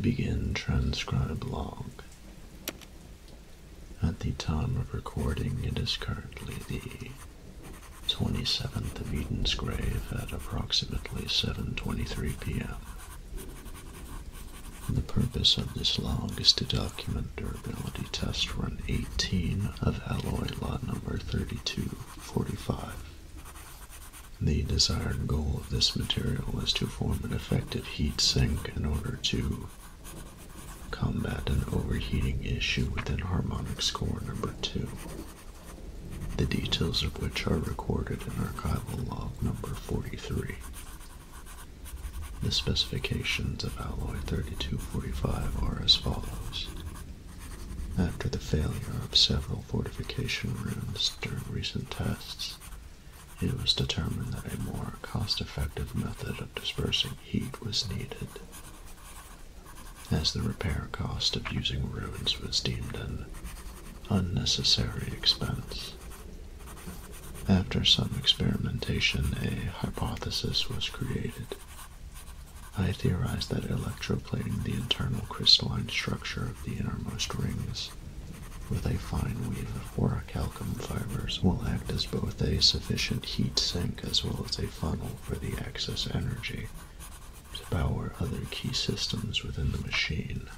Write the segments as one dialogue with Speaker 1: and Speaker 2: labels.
Speaker 1: Begin transcribe log. At the time of recording, it is currently the 27th of Eden's Grave at approximately 7.23 p.m. The purpose of this log is to document durability test run 18 of alloy lot number 32 45. The desired goal of this material is to form an effective heat sink in order to combat an overheating issue within harmonic score number 2, the details of which are recorded in archival log number 43. The specifications of alloy 3245 are as follows. After the failure of several fortification rooms during recent tests, it was determined that a more cost effective method of dispersing heat was needed, as the repair cost of using ruins was deemed an unnecessary expense. After some experimentation, a hypothesis was created I theorize that electroplating the internal crystalline structure of the innermost rings with a fine weave of orichalcum fibers will act as both a sufficient heat sink as well as a funnel for the excess energy to power other key systems within the machine.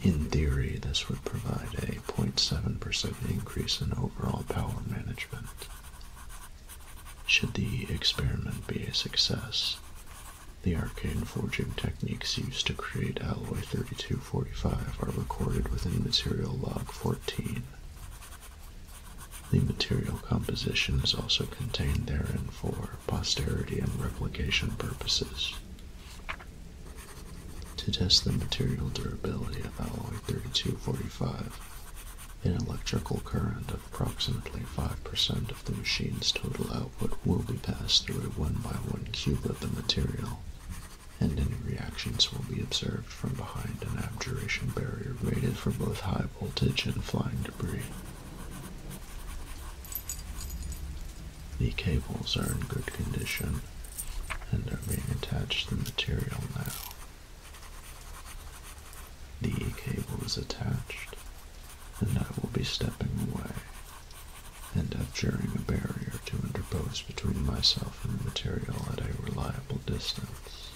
Speaker 1: In theory, this would provide a 0.7% increase in overall power management. Should the experiment be a success, the arcane forging techniques used to create alloy 3245 are recorded within material log 14. The material composition is also contained therein for posterity and replication purposes. To test the material durability of alloy 3245, an electrical current of approximately 5% of the machine's total output will be passed through a one by one cube of the material, and any reactions will be observed from behind an abjuration barrier rated for both high voltage and flying debris. The cables are in good condition and are being attached to the material now. The cable is attached, and I will be stepping away and abjuring a barrier to interpose between myself and the material at a reliable distance.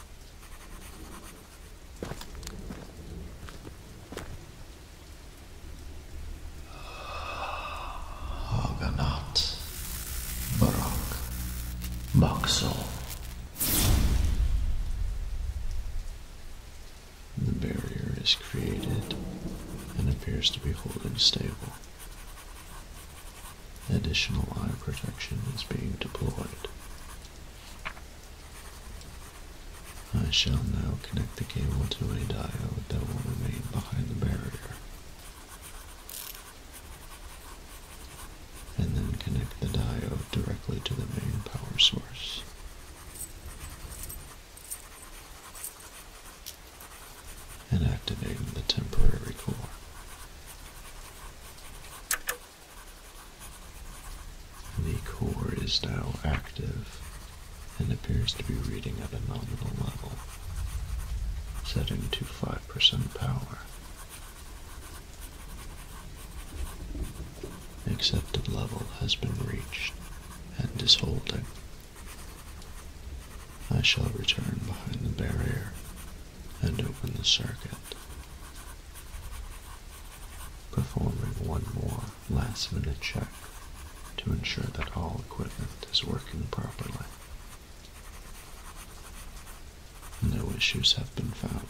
Speaker 1: Argonaut. Barak Boxall. The barrier is created and appears to be holding stable. Additional eye protection is being deployed. I shall now connect the cable to a diode that will remain behind the barrier and then connect the diode directly to the main power source. And activating the temporary core. The core is now active and appears to be reading at a nominal level, setting to 5% power. Accepted level has been reached and is holding. I shall return behind the barrier and open the circuit, performing one more last minute check to ensure that all equipment is working properly. No issues have been found.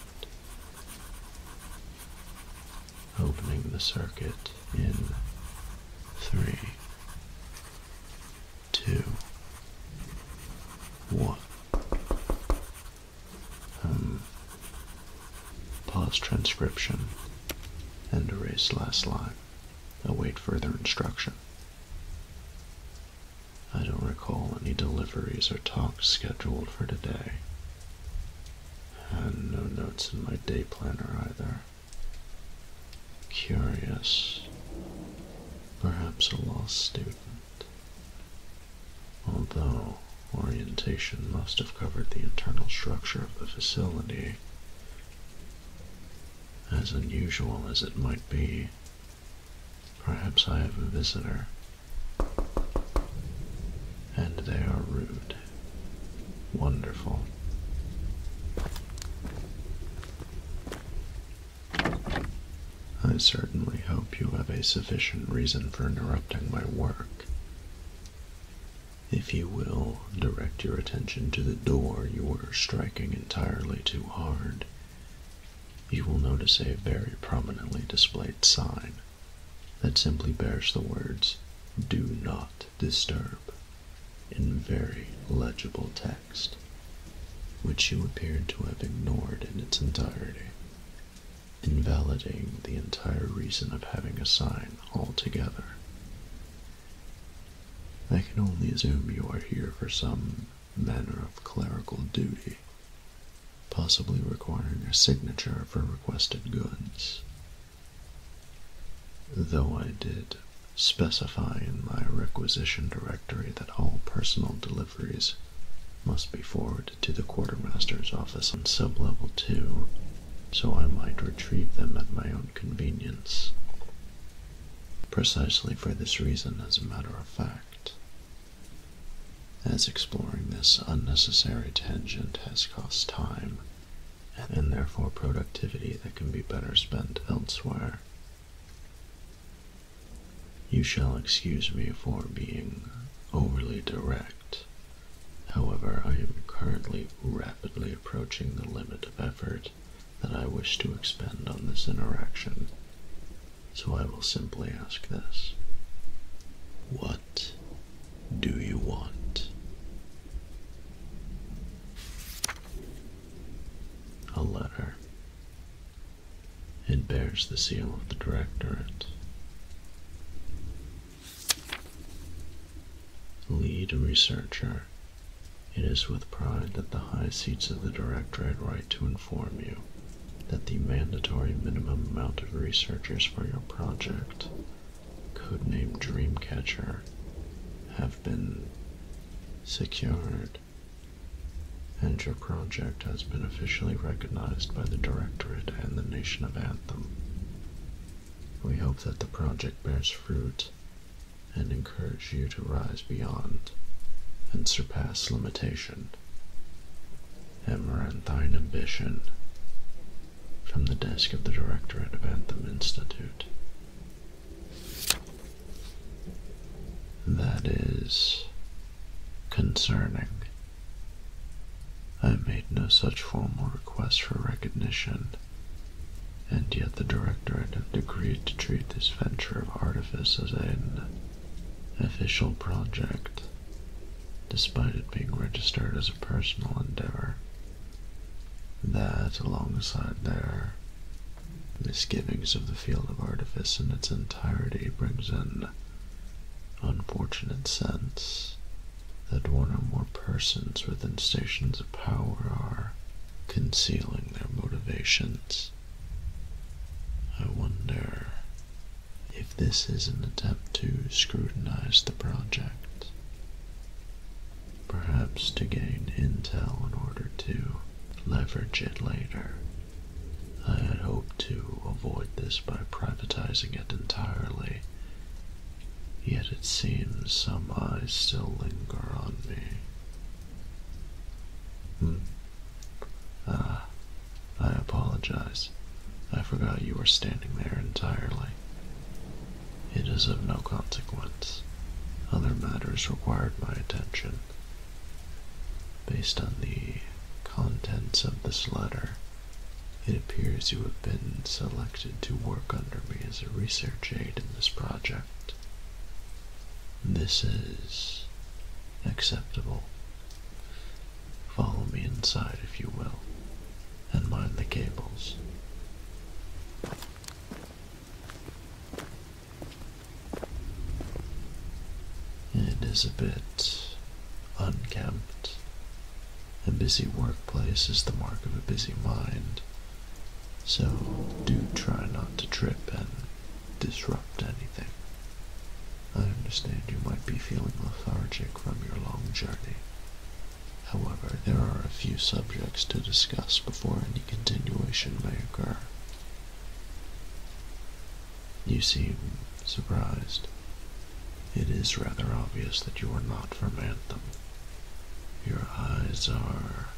Speaker 1: Opening the circuit in three, two, one. Um, pause transcription and erase last line. Await further instruction. I don't recall any deliveries or talks scheduled for today. And no notes in my day planner either. Curious. Perhaps a lost student. Although orientation must have covered the internal structure of the facility. As unusual as it might be, Perhaps I have a visitor, and they are rude. Wonderful. I certainly hope you have a sufficient reason for interrupting my work. If you will, direct your attention to the door you were striking entirely too hard you will notice a very prominently displayed sign that simply bears the words Do Not Disturb in very legible text, which you appeared to have ignored in its entirety, invalidating the entire reason of having a sign altogether. I can only assume you are here for some manner of clerical duty, possibly requiring a signature for requested goods. Though I did specify in my requisition directory that all personal deliveries must be forwarded to the quartermaster's office on sublevel 2, so I might retrieve them at my own convenience. Precisely for this reason, as a matter of fact, as exploring this unnecessary tangent has cost time and therefore productivity that can be better spent elsewhere. You shall excuse me for being overly direct. However, I am currently rapidly approaching the limit of effort that I wish to expend on this interaction, so I will simply ask this What do you want? A letter. It bears the seal of the Directorate. Lead researcher it is with pride that the high seats of the Directorate write to inform you that the mandatory minimum amount of researchers for your project, codenamed Dreamcatcher, have been secured, and your project has been officially recognized by the Directorate and the nation of Anthem. We hope that the project bears fruit and encourage you to rise beyond and surpass limitation. Amaranth ambition. From the desk of the Directorate of Anthem Institute. That is concerning. I made no such formal request for recognition and yet the Directorate have decreed to treat this venture of artifice as an official project, despite it being registered as a personal endeavor. That, alongside their misgivings of the field of artifice in its entirety, brings in unfortunate sense that one or more persons within stations of power are concealing their motivations. I wonder if this is an attempt to scrutinize the project, perhaps to gain intel in order to leverage it later. I had hoped to avoid this by privatizing it entirely yet it seems some eyes still linger on me. Hmm. Ah, I apologize. I forgot you were standing there entirely. It is of no consequence. Other matters required my attention. Based on the contents of this letter, it appears you have been selected to work under me as a research aide in this project. This is acceptable. Follow me inside, if you will, and mind the cables. It is a bit unkempt. A busy workplace is the mark of a busy mind, so do try not to trip and disrupt anything. I understand you might be feeling lethargic from your long journey. However, there are a few subjects to discuss before any continuation may occur. You seem surprised. It is rather obvious that you are not from Anthem, your eyes are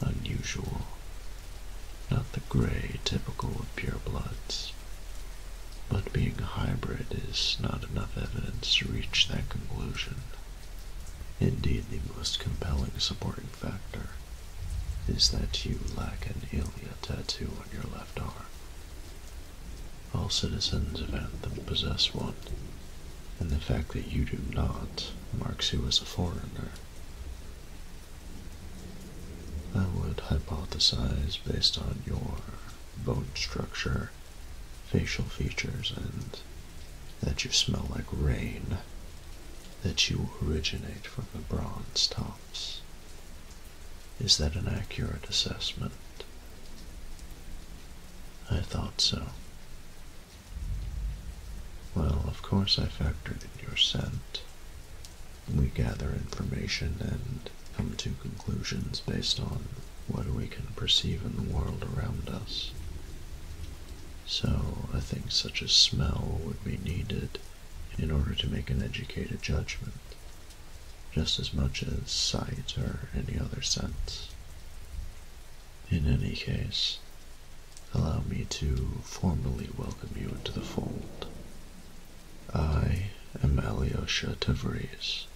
Speaker 1: unusual, not the gray typical of purebloods. But being a hybrid is not enough evidence to reach that conclusion. Indeed, the most compelling supporting factor is that you lack an ilia tattoo on your left arm all citizens of Anthem possess one, and the fact that you do not marks you as a foreigner. I would hypothesize based on your bone structure, facial features, and that you smell like rain, that you originate from the bronze tops. Is that an accurate assessment? I thought so. Well, of course I factored in your scent. We gather information and come to conclusions based on what we can perceive in the world around us. So I think such a smell would be needed in order to make an educated judgment just as much as sight or any other sense. In any case, allow me to formally welcome you into the fold. I am Alyosha Tavris,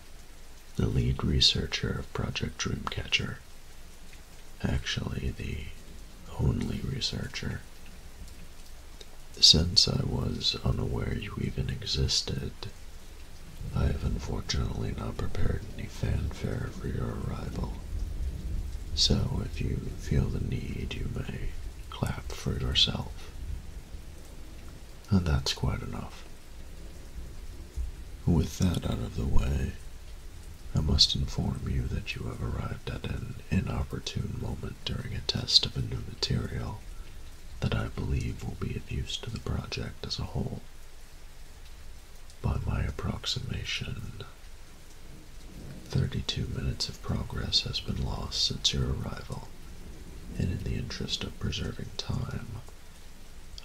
Speaker 1: the lead researcher of Project Dreamcatcher. Actually, the only researcher. Since I was unaware you even existed, I have unfortunately not prepared any fanfare for your arrival. So if you feel the need, you may clap for yourself. And that's quite enough. With that out of the way, I must inform you that you have arrived at an inopportune moment during a test of a new material that I believe will be of use to the project as a whole. By my approximation, 32 minutes of progress has been lost since your arrival, and in the interest of preserving time,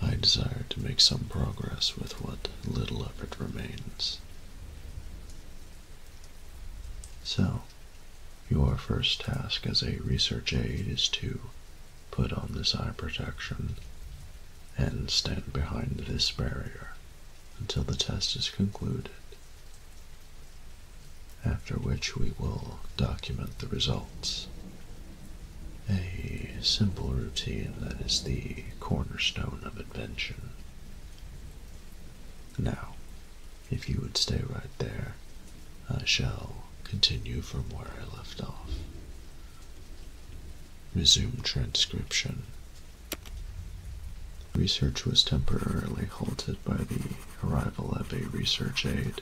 Speaker 1: I desire to make some progress with what little effort remains. So, your first task as a research aide is to put on this eye protection and stand behind this barrier until the test is concluded, after which we will document the results. A simple routine that is the cornerstone of invention. Now, if you would stay right there, I shall continue from where I left off. Resume transcription. Research was temporarily halted by the arrival of a research aid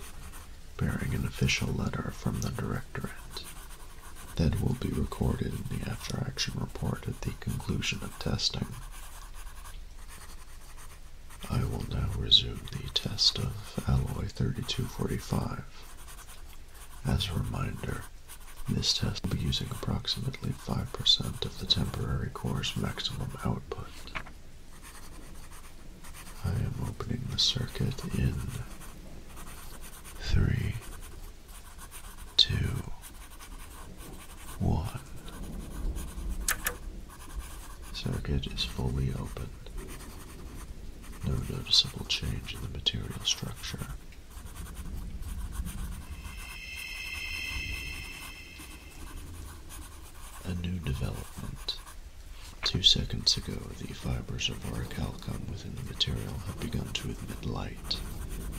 Speaker 1: bearing an official letter from the Directorate that will be recorded in the after action report at the conclusion of testing. I will now resume the test of alloy 3245. As a reminder, this test will be using approximately 5% of the temporary core's maximum output. I am opening the circuit in 3, 2, 1. Circuit is fully open. No noticeable change in the material structure. A new development. Two seconds ago, the fibers of orichalcum within the material have begun to emit light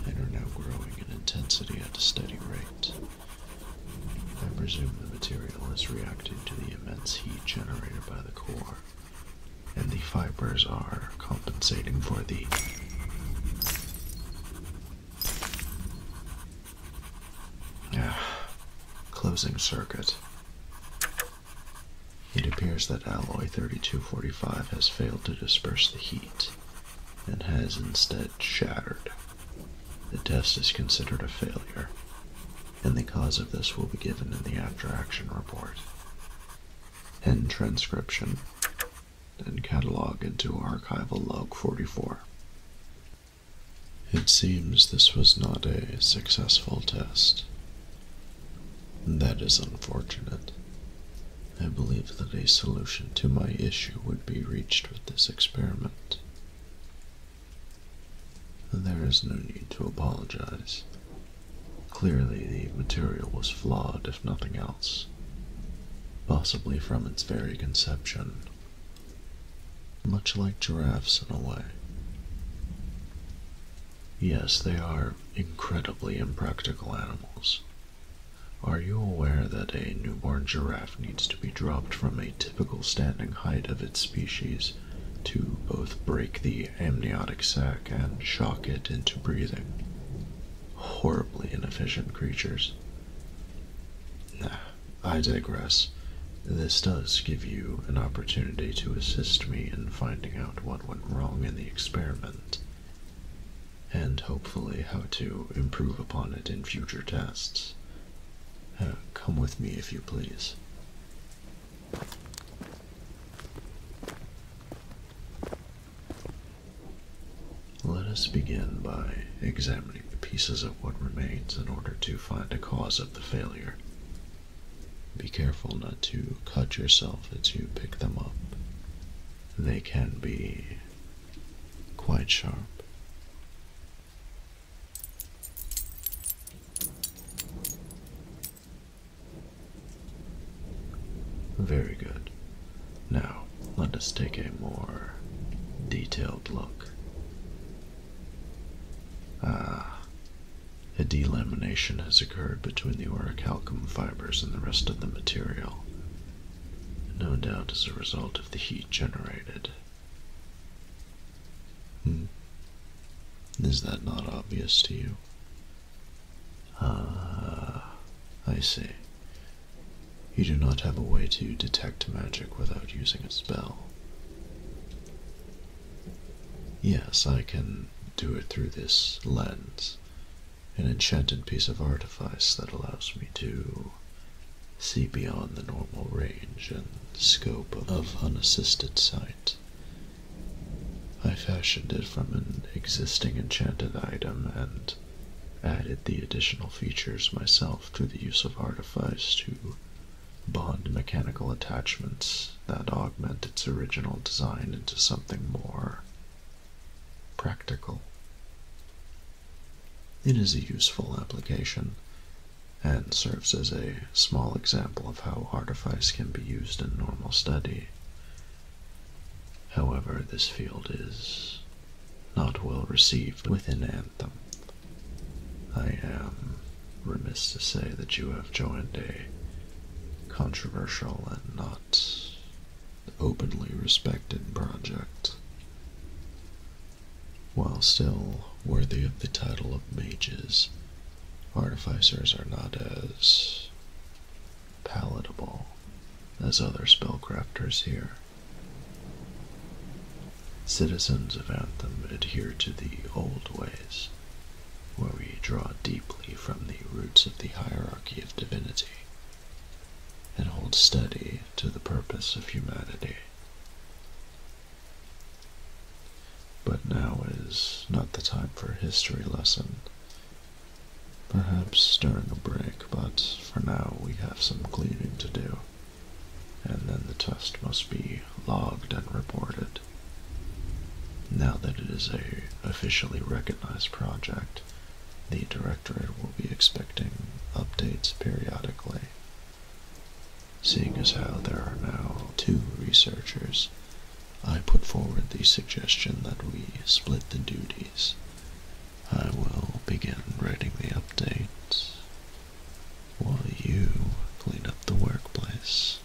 Speaker 1: and are now growing in intensity at a steady rate. I presume the material is reacting to the immense heat generated by the core, and the fibers are compensating for the ah, closing circuit. It appears that alloy 3245 has failed to disperse the heat and has instead shattered. The test is considered a failure, and the cause of this will be given in the after action report. End transcription and catalog into archival log 44. It seems this was not a successful test. That is unfortunate. I believe that a solution to my issue would be reached with this experiment. There is no need to apologize. Clearly, the material was flawed, if nothing else, possibly from its very conception, much like giraffes in a way. Yes, they are incredibly impractical animals. Are you aware that a newborn giraffe needs to be dropped from a typical standing height of its species to both break the amniotic sac and shock it into breathing. Horribly inefficient creatures. Nah, I digress. This does give you an opportunity to assist me in finding out what went wrong in the experiment, and hopefully how to improve upon it in future tests. Uh, come with me, if you please. Let us begin by examining the pieces of what remains in order to find a cause of the failure. Be careful not to cut yourself as you pick them up. They can be quite sharp. Very good. Now, let us take a more detailed look. Ah, a delamination has occurred between the orichalcum fibers and the rest of the material, no doubt as a result of the heat generated. Hmm. Is that not obvious to you? Ah, I see. You do not have a way to detect magic without using a spell. Yes, I can do it through this lens, an enchanted piece of artifice that allows me to see beyond the normal range and scope of, unassisted sight. I fashioned it from an existing enchanted item and added the additional features myself through the use of artifice to bond mechanical attachments that augment its original design into something more practical. It is a useful application, and serves as a small example of how artifice can be used in normal study. However, this field is not well received within Anthem. I am remiss to say that you have joined a controversial and not openly respected project. While still worthy of the title of mages, artificers are not as palatable as other spellcrafters here. Citizens of Anthem adhere to the old ways, where we draw deeply from the roots of the hierarchy of divinity and hold steady to the purpose of humanity. But now is not the time for a history lesson. Perhaps during a break, but for now we have some cleaning to do, and then the test must be logged and reported. Now that it is a officially recognized project, the Directorate will be expecting updates periodically. Seeing as how there are now two researchers, I put forward the suggestion that we split the duties. I will begin writing the updates while you clean up the workplace.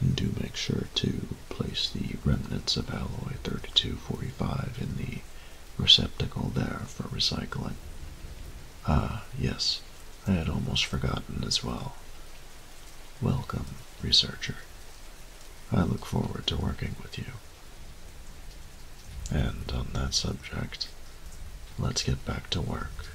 Speaker 1: And do make sure to place the remnants of Alloy 3245 in the receptacle there for recycling. Ah, yes, I had almost forgotten as well. Welcome, researcher. I look forward to working with you. And on that subject, let's get back to work.